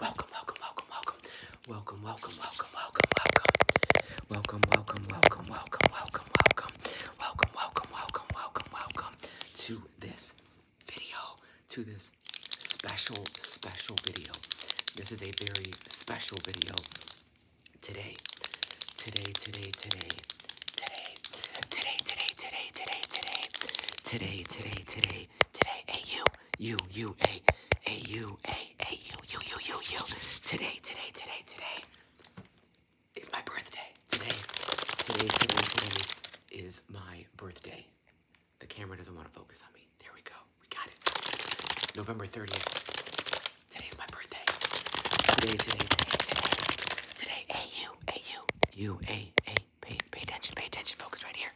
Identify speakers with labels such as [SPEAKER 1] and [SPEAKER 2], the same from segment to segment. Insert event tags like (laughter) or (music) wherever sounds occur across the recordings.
[SPEAKER 1] Welcome, welcome, welcome, welcome. Welcome, welcome, welcome, welcome, welcome. Welcome, welcome, welcome, welcome, welcome, welcome. Welcome, welcome, welcome, welcome, welcome to this video, to this special, special video. This is a very special video today. Today, today, today. Today, today, today, today, today, today, today, today, today, today, a u u u a a u a a u u u u u. Today, today, today, today is my birthday. Today, today, today, today is my birthday. The camera doesn't want to focus on me. There we go. We got it. November 30th. Today's my birthday. Today, today, today, today, today, a u you, hey you, you, hey, pay, attention, pay attention, focus right here.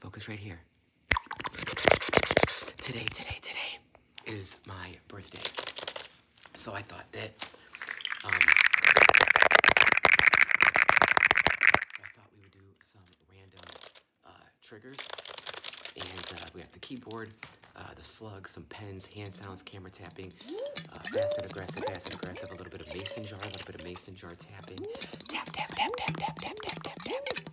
[SPEAKER 1] Focus right here. Today, today, today is my birthday. So I thought that, um, I thought we would do some random uh, triggers. And uh, we have the keyboard, uh, the slug, some pens, hand sounds, camera tapping, uh, fast and aggressive, fast and aggressive, a little bit of mason jar, a little bit of mason jar tapping, tap, tap, tap, tap, tap, tap, tap, tap, tap.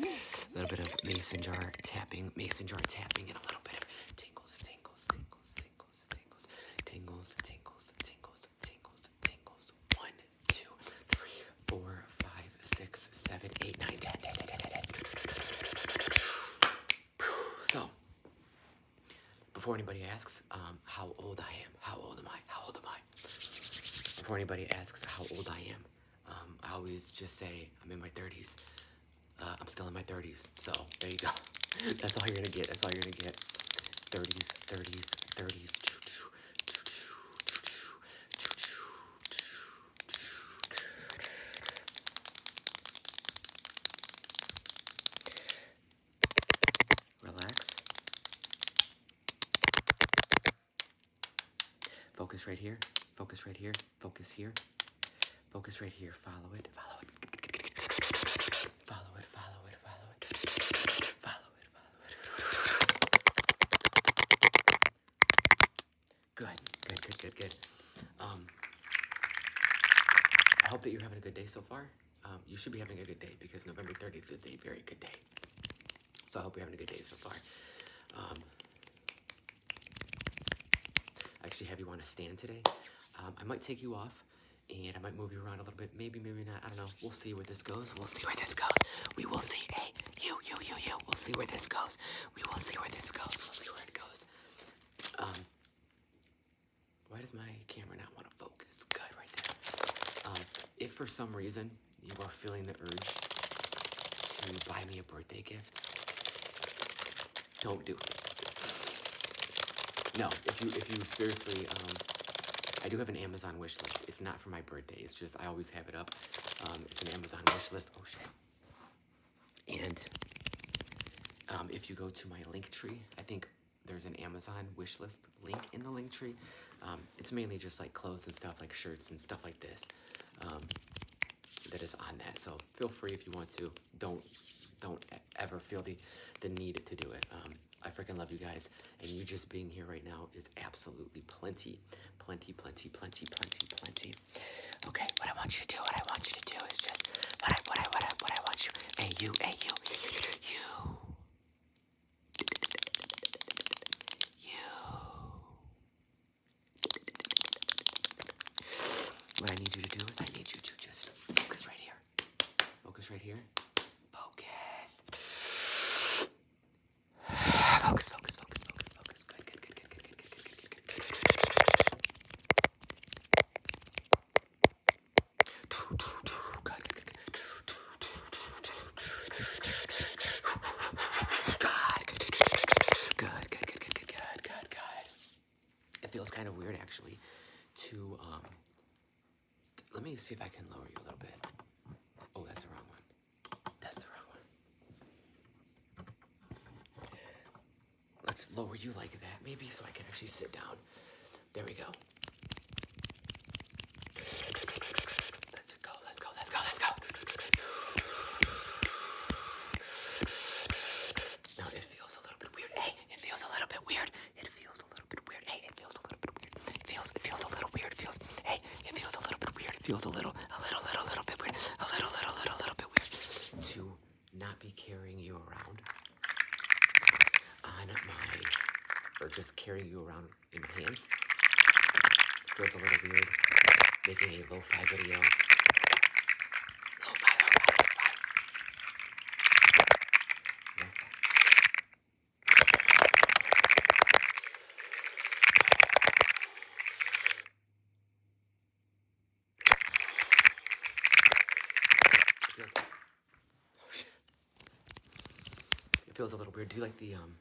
[SPEAKER 1] A little bit of mason jar tapping, mason jar tapping, and a little bit of tingles, tingles, tingles, tingles, tingles, tingles, tingles, tingles, tingles, tingles. One, two, three, four, five, six, seven, eight, nine, ten, ten, ten, ten, ten, ten. (sighs) So, before anybody asks um, how old I am, how old am I, how old am I? Before anybody asks how old I am, um, I always just say I'm in my 30s. Uh, I'm still in my 30s. So, there you go. (laughs) That's all you're gonna get. That's all you're gonna get. 30s, 30s, 30s. Relax. Focus right here. Focus right here. Focus here. Focus right here. Follow it. Follow it. Follow it. Follow it. Follow it. Follow it. Follow it. Good, good, good, good, good. Um, I hope that you're having a good day so far. Um, you should be having a good day because November 30th is a very good day. So I hope you're having a good day so far. Um, actually have you on a stand today. Um, I might take you off and I might move you around a little bit. Maybe, maybe not. I don't know. We'll see where this goes. We'll see where this goes. We will see. Hey, you, you, you, you. We'll see where this goes. We will see where this goes. We'll see where it goes. Um, why does my camera not want to focus? Good, right there. Um, if for some reason you are feeling the urge to buy me a birthday gift, don't do it. No, if you if you seriously, um, I do have an Amazon wish list. It's not for my birthday. It's just I always have it up. Um, it's an Amazon wish list. Oh shit. And um, if you go to my link tree, I think there's an Amazon wishlist link in the link tree. Um, it's mainly just like clothes and stuff, like shirts and stuff like this, um, that is on that. So feel free if you want to. Don't don't ever feel the the need to do it. I freaking love you guys, and you just being here right now is absolutely plenty, plenty, plenty, plenty, plenty, plenty. Okay, what I want you to do, what I want you to do is just what I what I what I what I want you. Hey you, you, you. What I need you to do is I need you to just focus right here. Focus right here. Focus. Focus, focus, focus, focus, focus. Good, good, good, good, good, good, good, good, good, good, good. Good, good, good, good, good, It feels kind of weird actually to um let me see if I can lower you a little bit. Oh, that's the wrong one. That's the wrong one. Let's lower you like that, maybe, so I can actually sit down. There we go. Let's go, let's go, let's go, let's go. Now it feels a little bit weird. Hey, it feels a little bit weird. It feels a little bit weird. Hey, it feels a little bit weird. It feels, it feels a little weird. It feels, hey okay? It feels a little bit weird. It feels a little, a little, little, little bit weird. A little, little, little, little bit weird to not be carrying you around on my, or just carrying you around in my hands. It feels a little weird making a lo-fi video. Lo-fi, lo-fi, lo-fi. It feels a little weird. Do you like the um,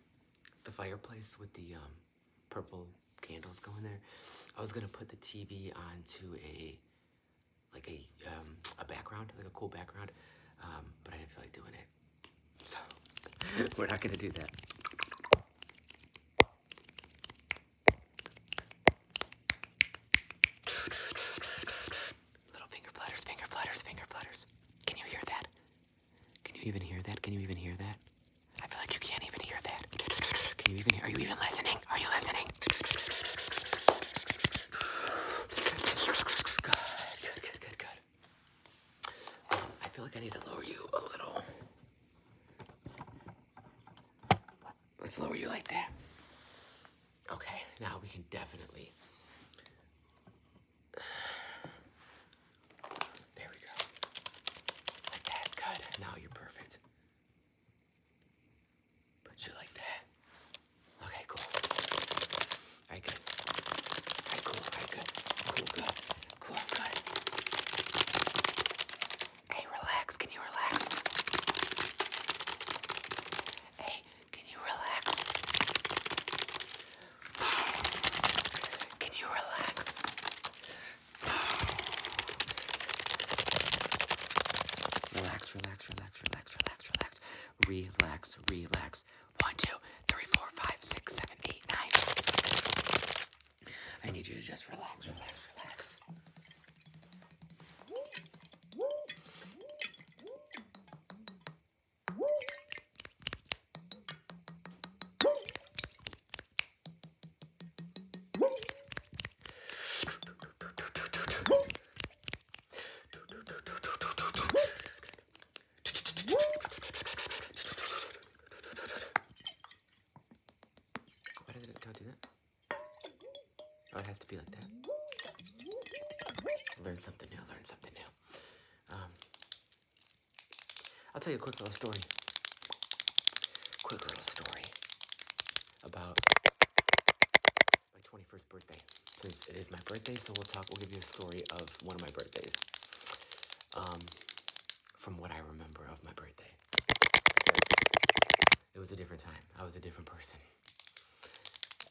[SPEAKER 1] the fireplace with the um, purple candles going there? I was gonna put the TV onto a like a um, a background, like a cool background, um, but I didn't feel like doing it. So (laughs) we're not going to do that. Little finger flutters, finger flutters, finger flutters. Can you hear that? Can you even hear that? Can you even hear that? I feel like you can't even hear that. Can you even Are you even listening? Are you listening? Good, good, good, good. I feel like I need to lower you a little. Let's lower you like that. Okay, now we can definitely. There we go. Like that, good. Now you're perfect. Put you like that. Okay, cool. All right, good. All right, cool. All right, good. Cool, good. Cool, good. Hey, relax. Can you relax? Hey, can you relax? Can you relax? Relax, relax, relax, relax, relax, relax. Relax, relax. One, two, three, four, five, six, seven, eight, nine. I need you to just relax, relax, relax don't do that? Oh, it has to be like that. Learn something new, learn something new. Um, I'll tell you a quick little story. Quick little story about my 21st birthday. Since it is my birthday, so we'll talk, we'll give you a story of one of my birthdays. Um, from what I remember of my birthday. It was a different time. I was a different person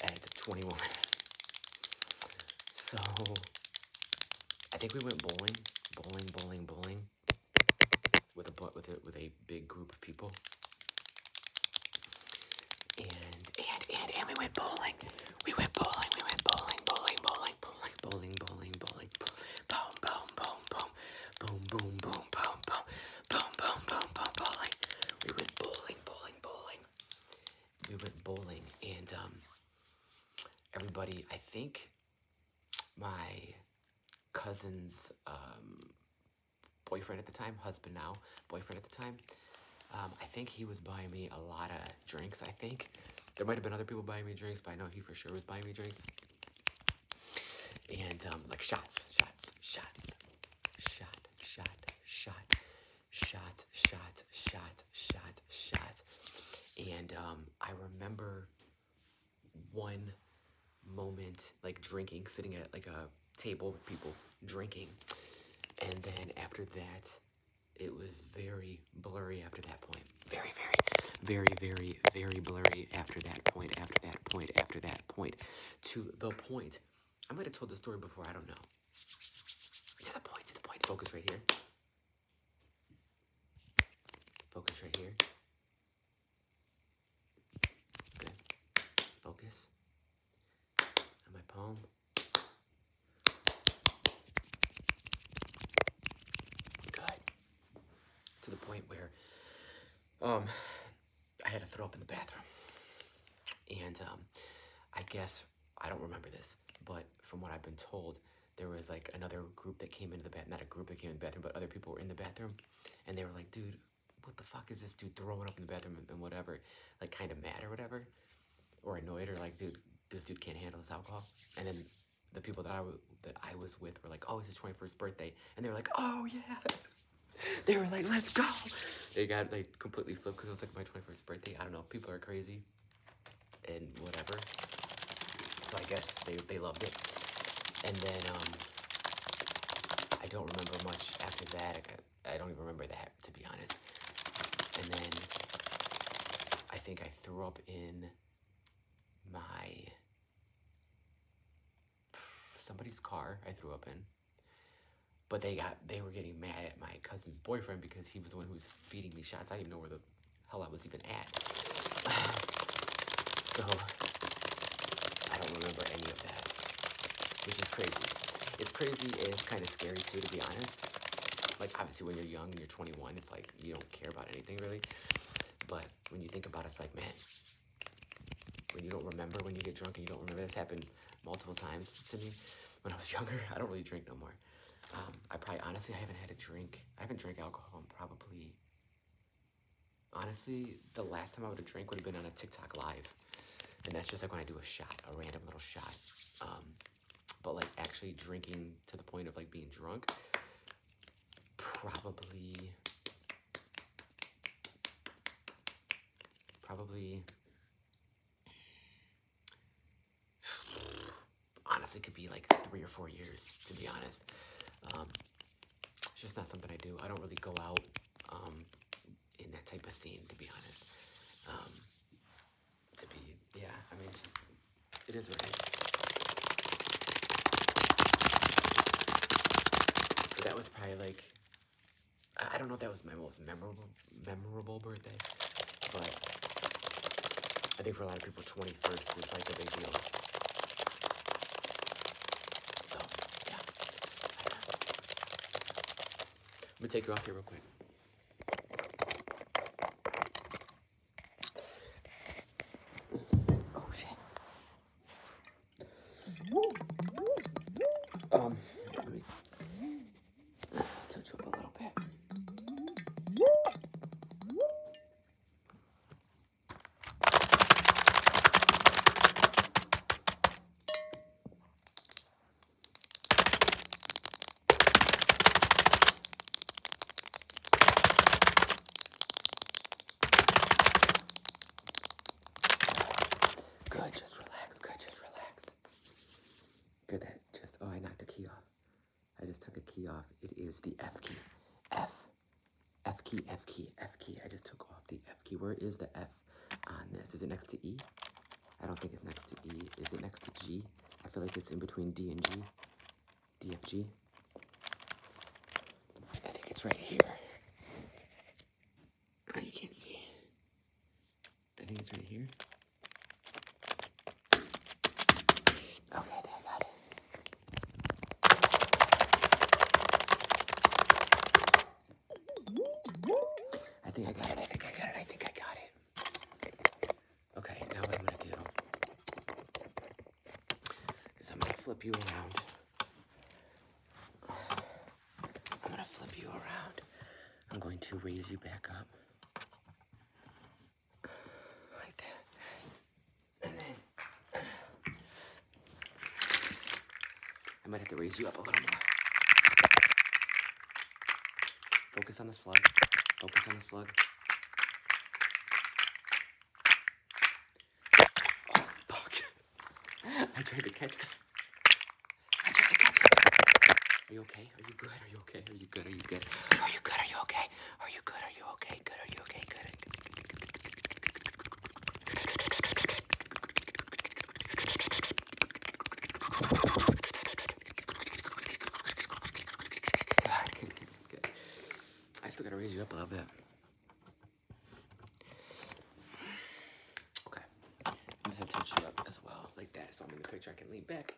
[SPEAKER 1] at 21. So, I think we went bowling, bowling, bowling, bowling with a with a, with a big group of people. And and and and we went bowling. We went bowling, we went bowling, bowling, bowling, bowling, bowling, bowling, bowling, boom, boom, boom, boom, boom, boom, boom, boom, boom, boom, boom, boom, boom, bowling. We went bowling, bowling, bowling. We went bowling and um everybody I think my cousin's um boyfriend at the time, husband now, boyfriend at the time, um, I think he was buying me a lot of drinks, I think. There might have been other people buying me drinks, but I know he for sure was buying me drinks. And um, like shots, shots, shots, shot, shot, shot, shot, shot, shot, shot, shot. And um, I remember one moment like drinking, sitting at like a table people drinking. And then after that, it was very blurry after that point. Very, very, very, very, very blurry after that point, after that point, after that point, to the point. I might have told the story before, I don't know. To the point, to the point. Focus right here. Focus right here. Good. Focus and my palm. Good. To the point where um, I had to throw up in the bathroom. And um, I guess, I don't remember this, but from what I've been told, there was like another group that came into the bathroom, not a group that came in the bathroom, but other people were in the bathroom. And they were like, dude, what the fuck is this dude throwing up in the bathroom and, whatever, like kind of mad or whatever, or annoyed or like, dude, this dude can't handle this alcohol. And then the people that I, that I was with were like, oh, it's his 21st birthday. And they were like, oh, yeah. (laughs) They were like, let's go. They got like completely flipped because it was like my 21st birthday. I don't know. People are crazy and whatever. So I guess they, they loved it. And then um, I don't remember much after that. I I don't even remember that, to be honest. And then I think I threw up in my somebody's car I threw up in. But they got they were getting mad at my cousin's boyfriend because he was the one who was feeding me shots. I didn't even know where the hell I was even at. (sighs) so I don't remember any of that, which is crazy. It's crazy and it's kind of scary too, to be honest. Like, obviously, when you're young and you're 21, it's like you don't care about anything really. But when you think about it, it's like, man, when you don't remember, when you get drunk and you don't remember, this happened multiple times to me when I was (laughs) younger. I don't really drink no more. Um, I probably, honestly, I haven't had a drink. I haven't drank alcohol probably Honestly, the last time I would have drank would have been on a TikTok live. And that's just like when I do a shot, a random little shot. Um, but like actually drinking to the point of like being drunk, probably, probably, (sighs) honestly could be like three or four years, to be honest. Um, it's just not something I do. I don't really go out um, in that type of scene, to be honest. Um, to be, yeah, I mean, it is what it is. So that was probably like, I don't know if that was my most memorable, memorable birthday, but I think for a lot of people, 21st is like a big deal. So, yeah. Let me take you off here real quick. Oh, shit. Um, let me touch up a little bit. Good, just relax. Good, just relax. Good, that just, oh, I knocked a key off. I just took a key off. It is the F key. F. F key, F key, F key. I just took off the F key. Where is the F on this? Is it next to E? I don't think it's next to E. Is it next to G? I feel like it's in between D and G. D, F, G. I think it's right here. Oh, you can't see. I think it's right here. Okay, I got it. I think I got it. I think I got it. I think I got it. Okay, now what I'm going to do is I'm going to flip you around. I'm going to flip you around. I'm going to raise you back up. Like that. I might have to raise you up a little more. Focus on the slug. Focus on the slug. Oh, fuck. (laughs) I tried to catch that. I tried to catch that. Are you okay? Are you good? Are you okay? Are you good? Are you good? Are you good? Are you okay? Are you good? Are you okay? Good. Are you okay? Good. I still gotta raise you up a little bit. Okay. I'm gonna touch you up as well, like that, so I'm in the picture. I can lean back.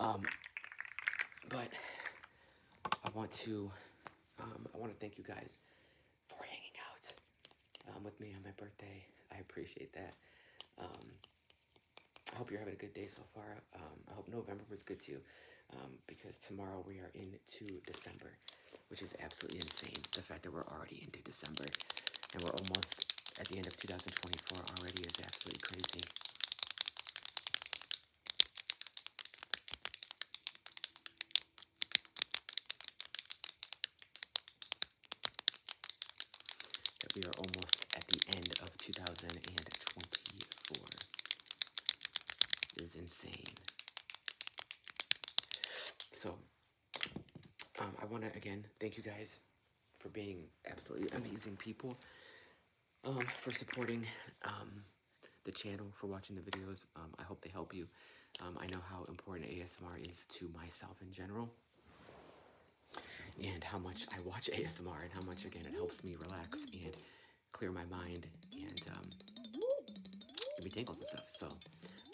[SPEAKER 1] Um, but I want to, um, I want to thank you guys for hanging out um, with me on my birthday. I appreciate that. Um, I hope you're having a good day so far. I hope November was good to you because tomorrow we are into December, which is absolutely insane. The fact that we're already into December and we're almost at the end of 2024 already is absolutely crazy. That we are almost at the end of 2024. It is insane. So, um, I want to again thank you guys for being absolutely amazing people um, for supporting um, the channel, for watching the videos. Um, I hope they help you. Um, I know how important ASMR is to myself in general and how much I watch ASMR and how much, again, it helps me relax and clear my mind and um, give me tingles and stuff. So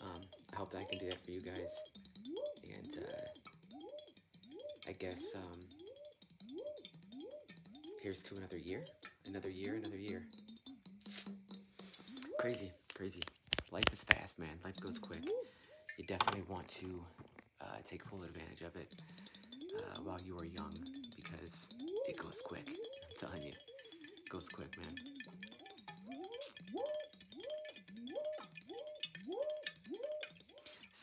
[SPEAKER 1] um, I hope that I can do that for you guys. And uh, I guess, um, here's to another year, another year, another year. Crazy, crazy. Life is fast, man. Life goes quick. You definitely want to uh, take full advantage of it uh, while you are young because it goes quick. I'm telling you, goes quick, man.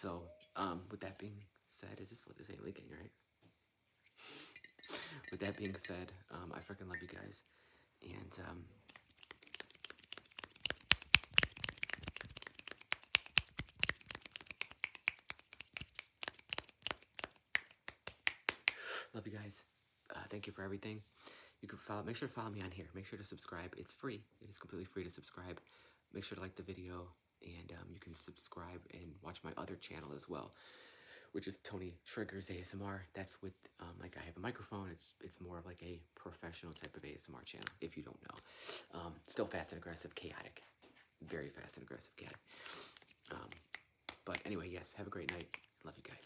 [SPEAKER 1] So, um, with that being said, is this, this ain't leaking, right? With that being said, um, I freaking love you guys. And, um, love you guys. Uh, thank you for everything. You can follow, make sure to follow me on here. Make sure to subscribe. It's free. It is completely free to subscribe. Make sure to like the video and um, you can subscribe and watch my other channel as well which is Tony Triggers ASMR. That's with, um, like, I have a microphone. It's it's more of like a professional type of ASMR channel, if you don't know. Um, still fast and aggressive, chaotic. Very fast and aggressive, chaotic. Um, but anyway, yes, have a great night. Love you guys.